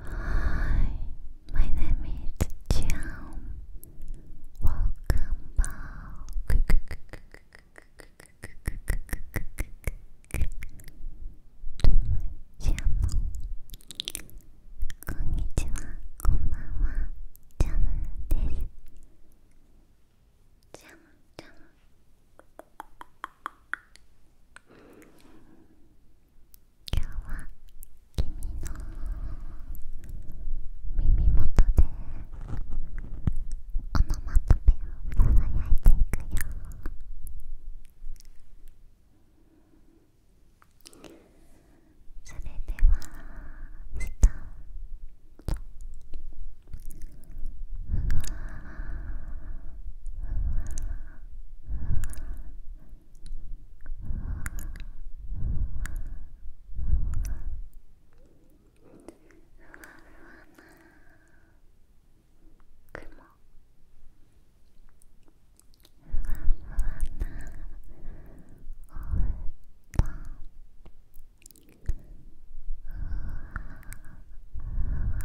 Hi, my name is Jam. Welcome back. To my channel. こんにちは、こんばんは、ジャムです。ジャム、ジャム。今日は君の耳元でオノマトペをささやいていくよそれではスた。ートわふわふわふわふわふ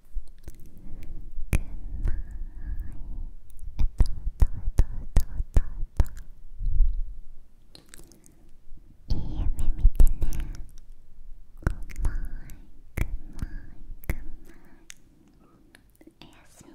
いいおやすみ。